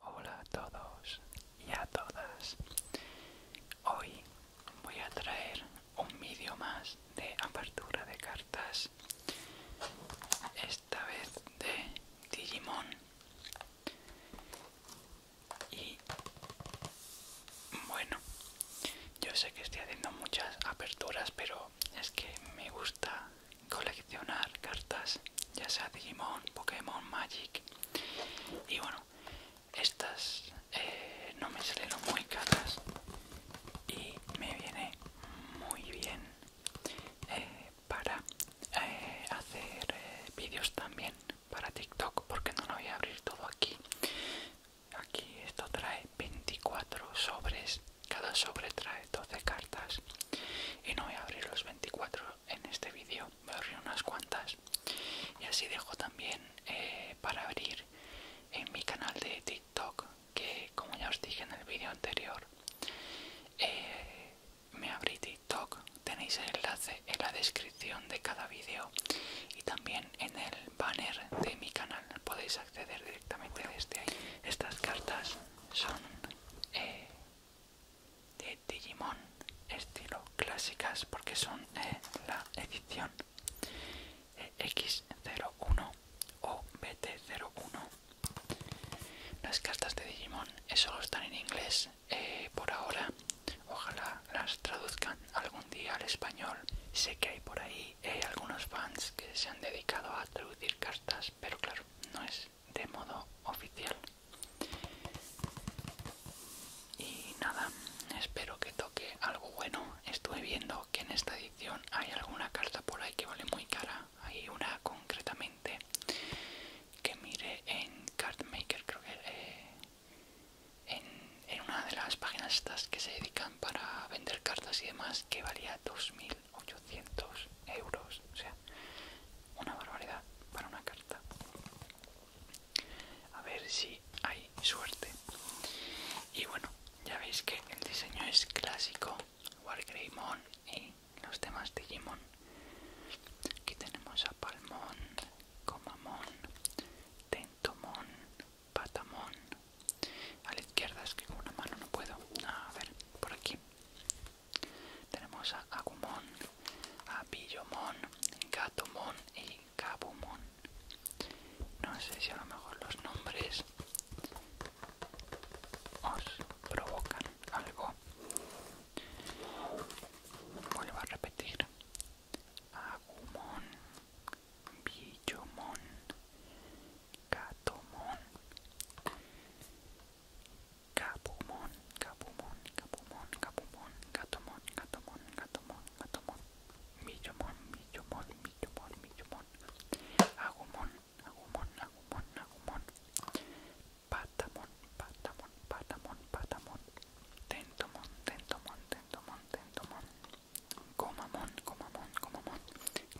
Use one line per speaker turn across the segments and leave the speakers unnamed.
Hola a todos y a todas. Hoy voy a traer un vídeo más de apertura de cartas. Esta vez de Digimon. Y bueno, yo sé que estoy haciendo muchas aperturas, pero es que me gusta coleccionar cartas, ya sea Digimon, Pokémon, Magic. Y bueno, estas eh, no me salen muy caras y me viene muy bien eh, para eh, hacer vídeos también para TikTok, porque no lo voy a abrir todo aquí. Aquí esto trae 24 sobres, cada sobre trae 12 cartas y no voy a abrir los 24 en este vídeo me abrí unas cuantas y así dejo también eh, para abrir en mi canal de TikTok que como ya os dije en el vídeo anterior eh, me abrí TikTok tenéis el enlace en la descripción de cada vídeo y también en el banner de mi canal podéis acceder directamente desde ahí estas cartas son eh, de Digimon estilo clásicas porque son eh, la edición eh, X01 o BT01. Las cartas de Digimon eh, solo están en inglés por ahora. Ojalá las traduzcan algún día al español. Sé que hay por ahí algunos fans que se han dedicado a traducir cartas, pero claro, no es de modo oficial y nada espero que toque algo bueno estuve viendo que en esta edición hay alguna carta por ahí que vale muy cara hay una concretamente que mire en cardmaker creo que eh, en, una de las páginas estas que se dedican para vender cartas y demás que valía 2000 800 euros, o sea, una barbaridad para una carta. A ver si hay suerte. Y bueno, ya veis que el diseño es clásico, Wargreymon y los demás Digimon. Aquí tenemos a Palmón, Comamón, Tentomón, Patamón. A la izquierda es que con una mano no puedo. A ver, por aquí. Tenemos a Agumon, a Billomon, Gatomon y Kabumon. No sé si a lo mejor los nombres os provocan algo. Vuelvo a repetir. Agumon, Billomon, Gatomon, Capumón, capumón, capumón, capumón, gatomón, gatomón, gatomón, gatomón, millomón, millomón, millomón, millomón, agumón, agumon agumon agumon patamón, patamón, patamón, patamón, tentomón, tentomón, tentomón, tentomón, comamón, comamón, comamón,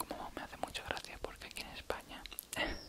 comamón me hace mucha gracia porque aquí en España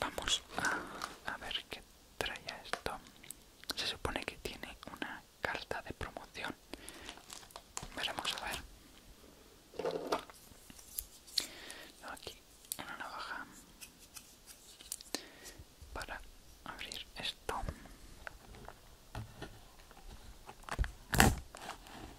Vamos a, ver qué trae esto. Se supone que tiene una carta de promoción. Veremos a ver. Aquí una navaja para abrir esto.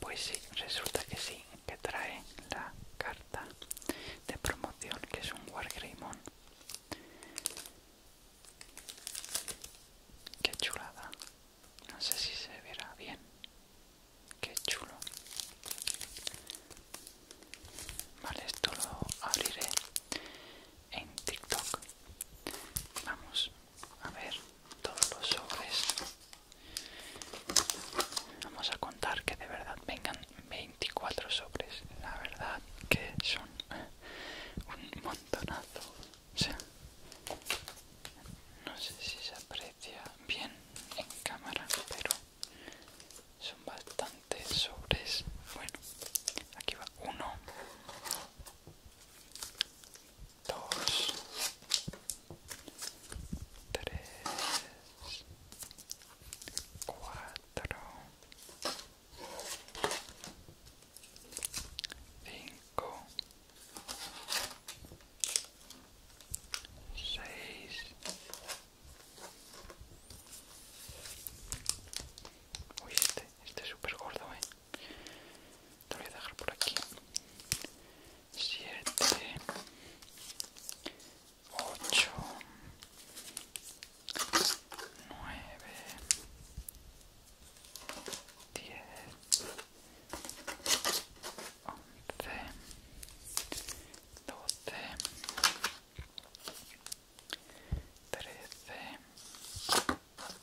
Pues sí, resulta que sí, que trae la carta de promoción que es un Wargreymon. Qué chulada. No sé si se verá bien. Qué chulo. Vale, esto lo abriré en TikTok. Vamos, a ver todos los sobres vamos a contar que de verdad vengan 24 sobres la verdad que son un montonazo o sea no sé si se aprecia bien en cámara pero son bastantes sobres bueno aquí va uno dos, tres, cuatro, cinco, seis, uy este, este es súper gordo, eh. Te voy a dejar por aquí. Siete Ocho Nueve Diez Once Doce Trece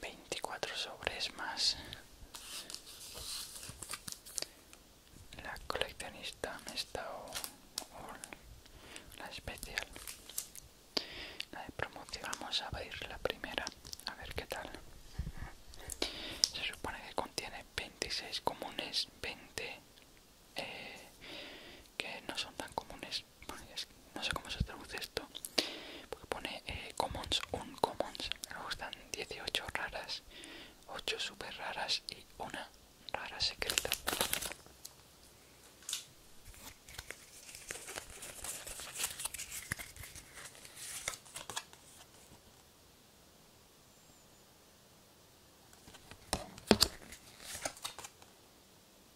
24 sobres más. La coleccionista me está la especial. La de promoción. Vamos a abrir la primera. A ver qué tal. Se supone que contiene 26 comunes, 20 eh, que no son tan comunes no sé cómo se traduce esto porque pone eh, commons un commons me gustan 18 raras 8 super raras y una rara secreta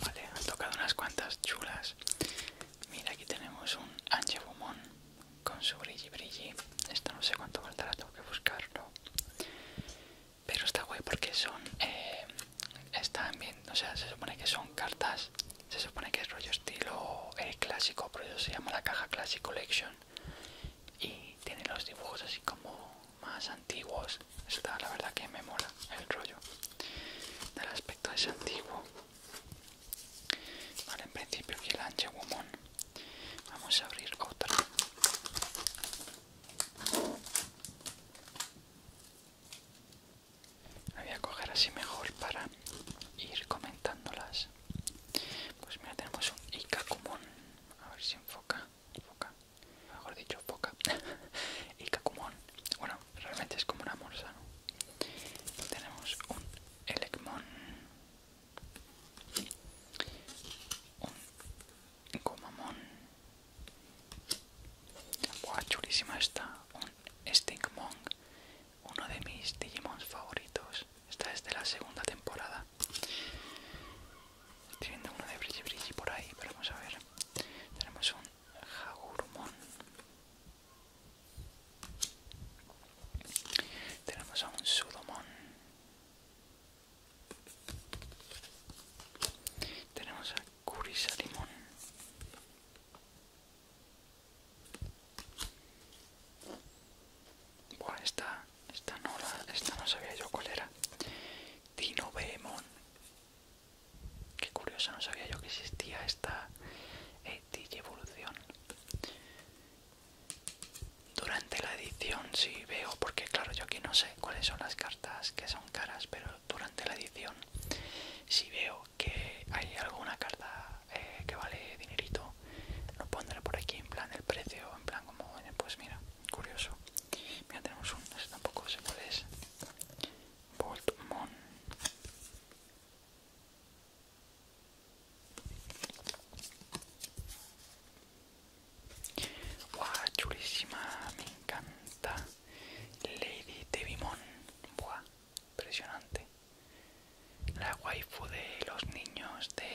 Vale, han tocado unas cuantas chulas. Mira, aquí tenemos un Bumón con su brilli brilli. Esto no sé cuánto faltará, tengo que buscarlo. Pero está guay porque son. Eh, están bien, o sea, se supone que son cartas. Se supone que es rollo estilo clásico, pero eso se llama la caja Classic Collection. Y tiene los dibujos así como más antiguos. Está, la verdad, que me mola el rollo. El aspecto es antiguo. Vale, en principio aquí el Anche Woman. Vamos a abrir otra voy a coger así mejor para ir comentándolas. Pues mira, tenemos un Ikakumon. A ver si enfoca. Mejor dicho, poca. Ikakumon. Bueno, realmente es como una morsa, ¿no? Tenemos un Elecmon. Un Gomamon. Guau, chulísima está. Un Stinkmon. Uno de mis Digimons favoritos. Esta es de la segunda temporada. Estoy viendo uno de Brigi Bridge por ahí, pero vamos a ver. Tenemos un Hagurumon. Tenemos a un Sudomon. Tenemos a Curisa Limón. Bueno, esta, esta no la, esta no sabía yo cuál era. Dino Beemon. Qué curiosa, no sabía yo que existía esta eh, evolución durante la edición si veo porque claro yo aquí no sé cuáles son las cartas que son caras pero durante la edición si veo que hay alguna carta eh, que vale dinerito lo pondré por aquí en plan el precio en plan como pues mira curioso mira tenemos un tampoco sé cuál es Voltmon Buah, chulísima, me encanta. Lady Tevimon. buah, impresionante. La waifu de los niños de,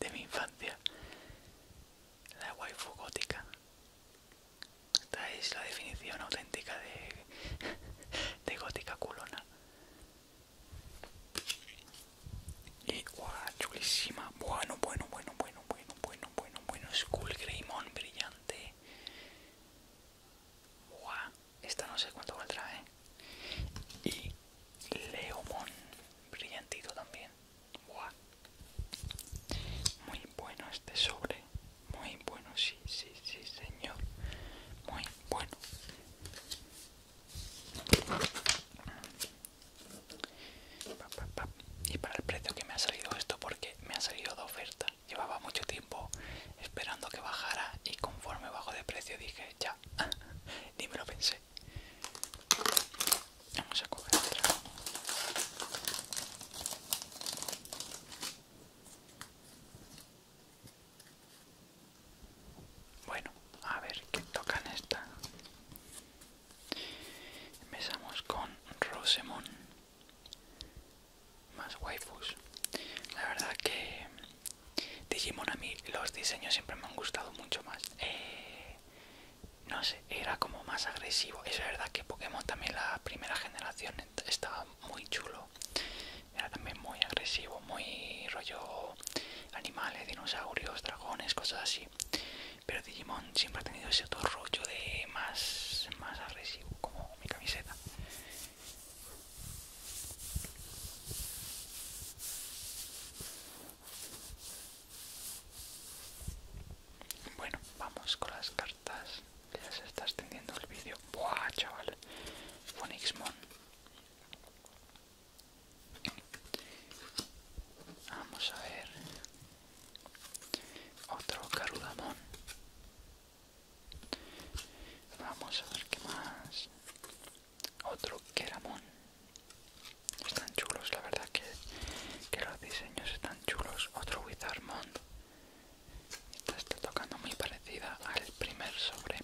de, mi infancia. La waifu gótica. Esta es la definición auténtica de, de gótica culona. Y wow, chulísima. Bueno, bueno, bueno, bueno, bueno, bueno, bueno, bueno. cool, Greymon brillante. Wow, esta no sé cuánto a traer ¿eh? Y Leomon brillantito también. Guau, Muy bueno este sobre. Muy bueno, sí, sí, sí, señor. Muy bueno. Y para el precio que me ha salido esto, porque me ha salido de oferta. Llevaba mucho tiempo esperando que bajara y conforme bajó de precio dije, ya, ni me lo pensé. Vamos a coger otra. Bueno, a ver qué toca en esta. Empezamos con Rosemon Más waifus. La verdad que Digimon a mí los diseños siempre me han gustado mucho más. Eh, no sé, era como más agresivo. Es verdad que Pokémon también la primera generación estaba muy chulo era también muy agresivo, muy rollo animales, dinosaurios, dragones, cosas así. Pero Digimon siempre ha tenido ese otro rollo de más, más agresivo, como mi camiseta. Bueno, vamos con las cartas. ya se está extendiendo el vídeo. Buah, chaval. Phoenixmon. Vamos a ver. Otro carudamón. Vamos a ver qué más. Otro Keramon Están chulos, la verdad que, que los diseños están chulos. Otro Wizardmon. Esta está tocando muy parecida al primer sobre.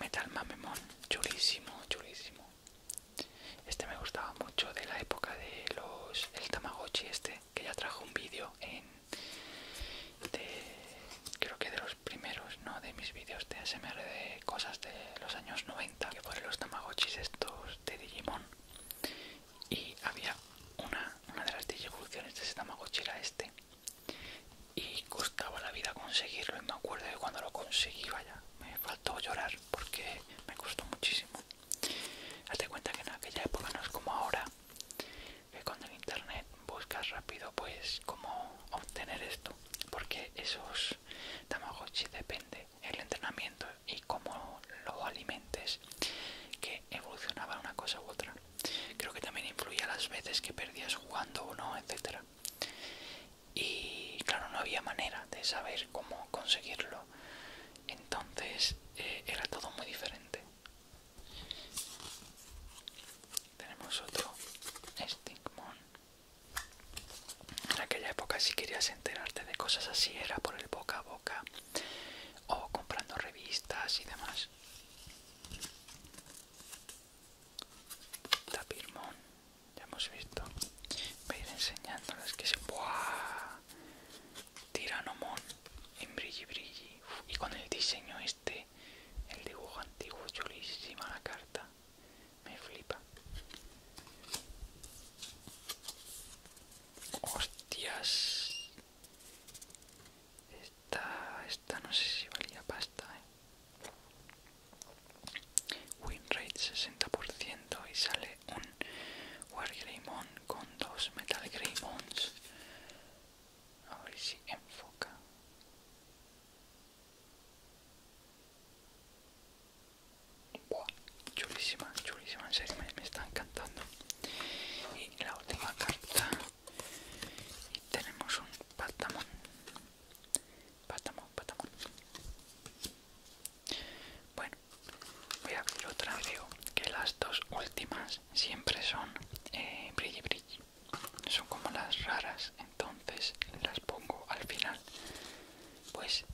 Metal Mamemon, chulísimo, chulísimo. Este me gustaba mucho de la época de los el Tamagotchi este, que ya trajo un vídeo en de, creo que de los primeros, no de mis vídeos de ASMR de cosas de los años 90, que fueron los Tamagotchis estos de Digimon. Y había una, una de las evoluciones de ese Tamagotchi era este, y costaba la vida conseguirlo y me acuerdo de cuando lo conseguí vaya me faltó llorar porque me costó muchísimo hazte cuenta que en aquella época no es como ahora que cuando en internet buscas rápido pues cómo obtener esto porque esos tamagotchi depende el entrenamiento y cómo lo alimentes que evolucionaba una cosa u otra. Creo que también influía las veces que perdías jugando o no, etc. Y claro, no había manera de saber cómo conseguirlo. Entonces eh, era todo muy diferente. Tenemos otro Stingmon En aquella época si querías enterarte de cosas así era por el boca a boca o comprando revistas y demás tapirmon, ya hemos visto. Voy a ir enseñándoles que se. ¡Buah! Tiranomón en brilli brilli. Y con el diseño este, el dibujo antiguo, chulísima la carta. Me flipa. Hostias. Esta, no sé si valía pasta. ¿eh? Win rate 60% y sale un War con dos Metal Greymons. A ver si enfoca. chulísima, chulísima, en serio me está encantando. Y la última carta y tenemos un Patamon Patamon, patamón bueno voy a abrir otra creo que las dos últimas siempre son eh, brilli son como las raras entonces las pongo al final pues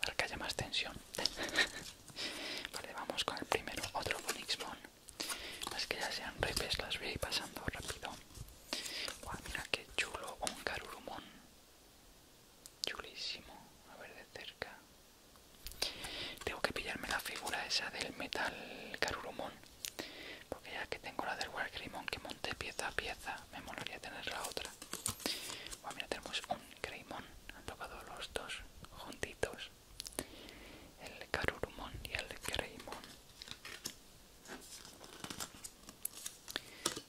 para eh, que haya más tensión vale vamos con el primero otro bonix las que ya sean repes las voy a ir pasando rápido. Guau, mira qué chulo, un carurumón. Chulísimo, a ver de cerca. Tengo que pillarme la figura esa del metal carurumón. Porque ya que tengo la del Creamon que monté pieza a pieza, me molaría tener la otra. Guau, mira, tenemos un Greymon. Han tocado los dos juntitos el Carorumon y el greymon.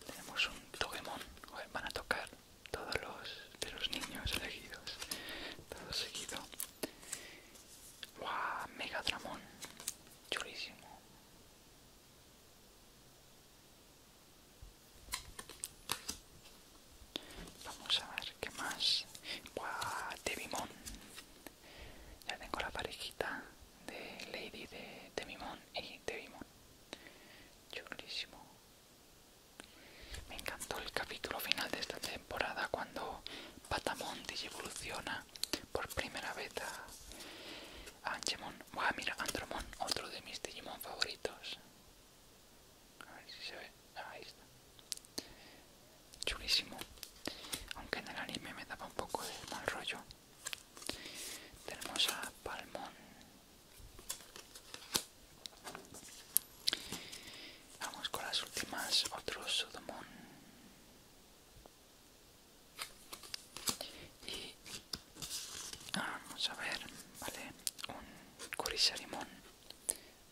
Tenemos un togemon, van a tocar todos los de los niños elegidos, todo seguido. ¡Wow! Megadramón, chulísimo. Vamos a ver qué más. Buah, Tebimon Ya tengo la parejita de Lady de Devimon y eh, Tebimon Chulísimo. Me encantó el capítulo final de esta temporada cuando Patamon evoluciona por primera vez a Angemon. Buah, mira, Andromon, otro de mis Digimon favoritos a ver si se ve, ahí está, chulísimo, aunque en el anime me daba un poco de mal rollo, tenemos a Palmón, vamos con las últimas, otro Sudomon y vamos a ver, vale, un Kurisarimon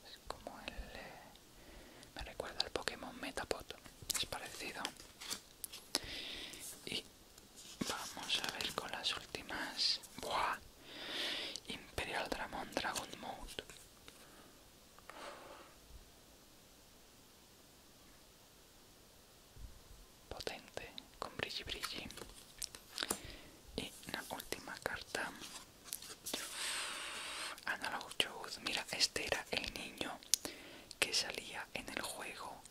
es como el... Eh, me recuerda al Pokémon Metapod, es parecido. Y vamos a ver con las últimas... ¡Buah! Imperial Dramon Dragon Mode. Potente, con Brigi Brigi Y la última carta Analog Truth, mira, este era el niño que salía en el juego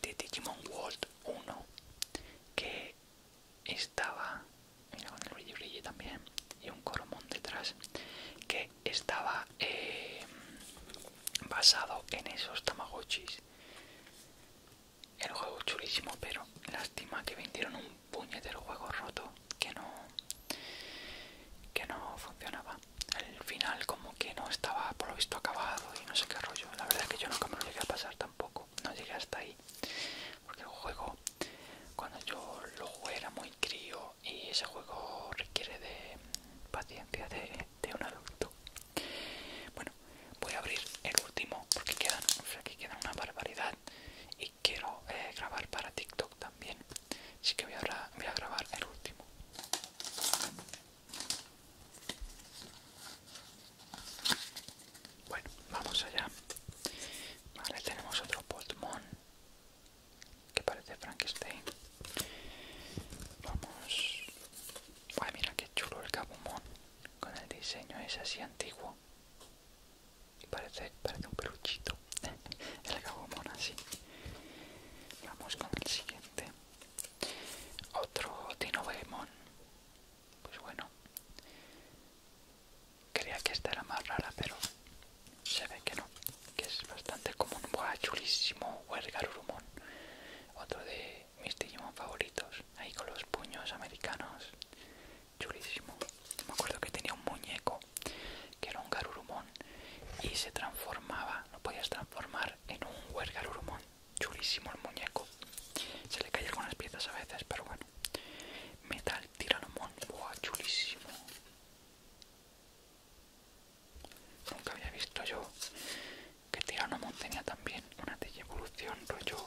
de Digimon World 1 que estaba, mira con el Brilli también y un Coromon detrás que estaba eh, basado en esos tamagotchis el juego es chulísimo, pero lástima que vendieron un puñetero juego roto que no que no funcionaba. El final como que no estaba por lo visto acabado y no sé qué rollo. La verdad es que yo nunca me lo llegué a pasar tampoco. No llegué hasta ahí. Porque el juego, cuando yo lo jugué era muy crío y ese juego requiere de paciencia de, un adulto. Bueno, voy a abrir el último porque quedan, o que quedan una barbaridad y quiero eh, grabar para TikTok también así que voy a, grabar el último bueno vamos allá vale tenemos otro Pokémon que parece Frankenstein vamos ay mira qué chulo el kabumon con el diseño es así antiguo Parece, parece un peluchito. El garumón así. Vamos con el siguiente. Otro Dinobaemon. Pues bueno. Creía que esta era más rara, pero se ve que no. Que es bastante común. Buah, chulísimo. rumón, Otro de mis Digimon favoritos. Ahí con los puños americanos chulísimo. Me acuerdo que tenía un muñeco que era un garurumon y se transformaba, lo podías transformar en un huergarurumon Chulísimo el muñeco. Se le con algunas piezas a veces, pero bueno. Metal tiranomón, chulísimo. Nunca había visto yo que Tiranomon tenía también una evolución rollo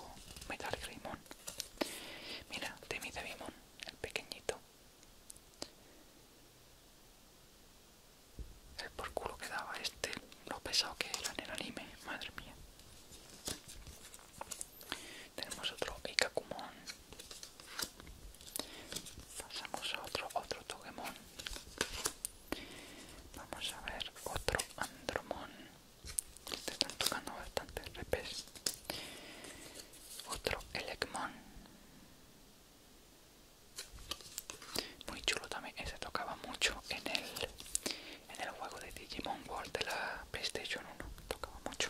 Metal Greymon. Mira, de el pequeñito. El por culo que daba este, lo pesado que era en el anime, madre mía. Tenemos otro Ikakumon. Pasamos a otro, otro Togemon. Vamos a ver otro Andromon te están tocando bastante repes otro el muy chulo también ese tocaba mucho en el en el juego de Digimon World de la PlayStation 1 tocaba mucho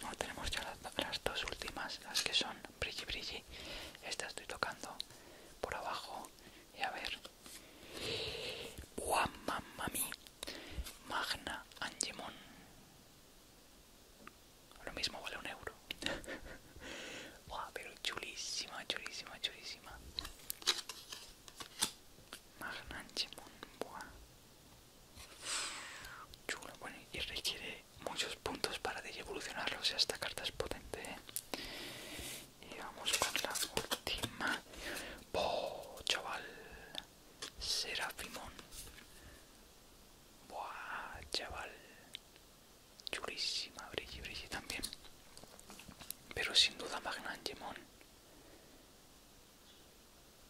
bueno, tenemos ya las, dos últimas las que son brilli brilli esta estoy tocando por abajo y a ver Buah, mamma Magna Angemon. Lo mismo vale un euro. Buah, pero chulísima, chulísima, chulísima. Magna Angemon, buah. Chulo, bueno, y requiere muchos puntos para de O sea, esta carta es potente, ¿eh? Y vamos con la última. Oh, chaval! Serafimón. ¡Buah, chaval! churísima brilli, brilli también. Pero sin duda Magnangemon.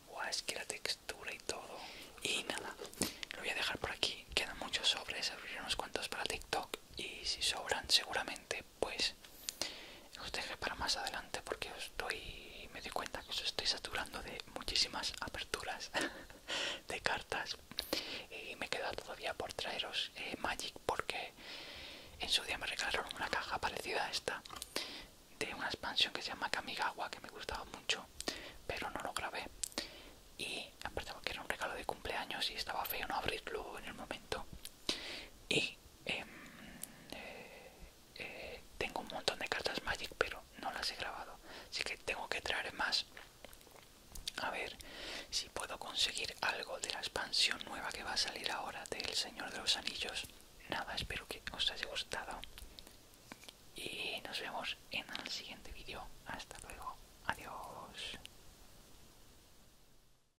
Buah, es que la textura y todo. Y nada, lo voy a dejar por aquí. Quedan muchos sobres, abriré unos cuantos para TikTok. Y si sobran, seguramente pues os deje para más adelante porque me doy cuenta que os estoy saturando de muchísimas aperturas de cartas y me quedo todavía por traeros eh, Magic porque en su día me regalaron una caja parecida a esta de una expansión que se llama Kamigawa que me gustaba mucho pero no lo grabé y aparte porque era un regalo de cumpleaños y estaba feo no abrirlo en el momento y Em, eh, tengo un montón de cartas Magic, pero no las he grabado. Así que tengo que traer más. A ver si puedo conseguir algo de la expansión nueva que va a salir ahora del Señor de los Anillos. Nada, espero que os haya gustado. Y nos vemos en el siguiente vídeo. Hasta luego. Adiós.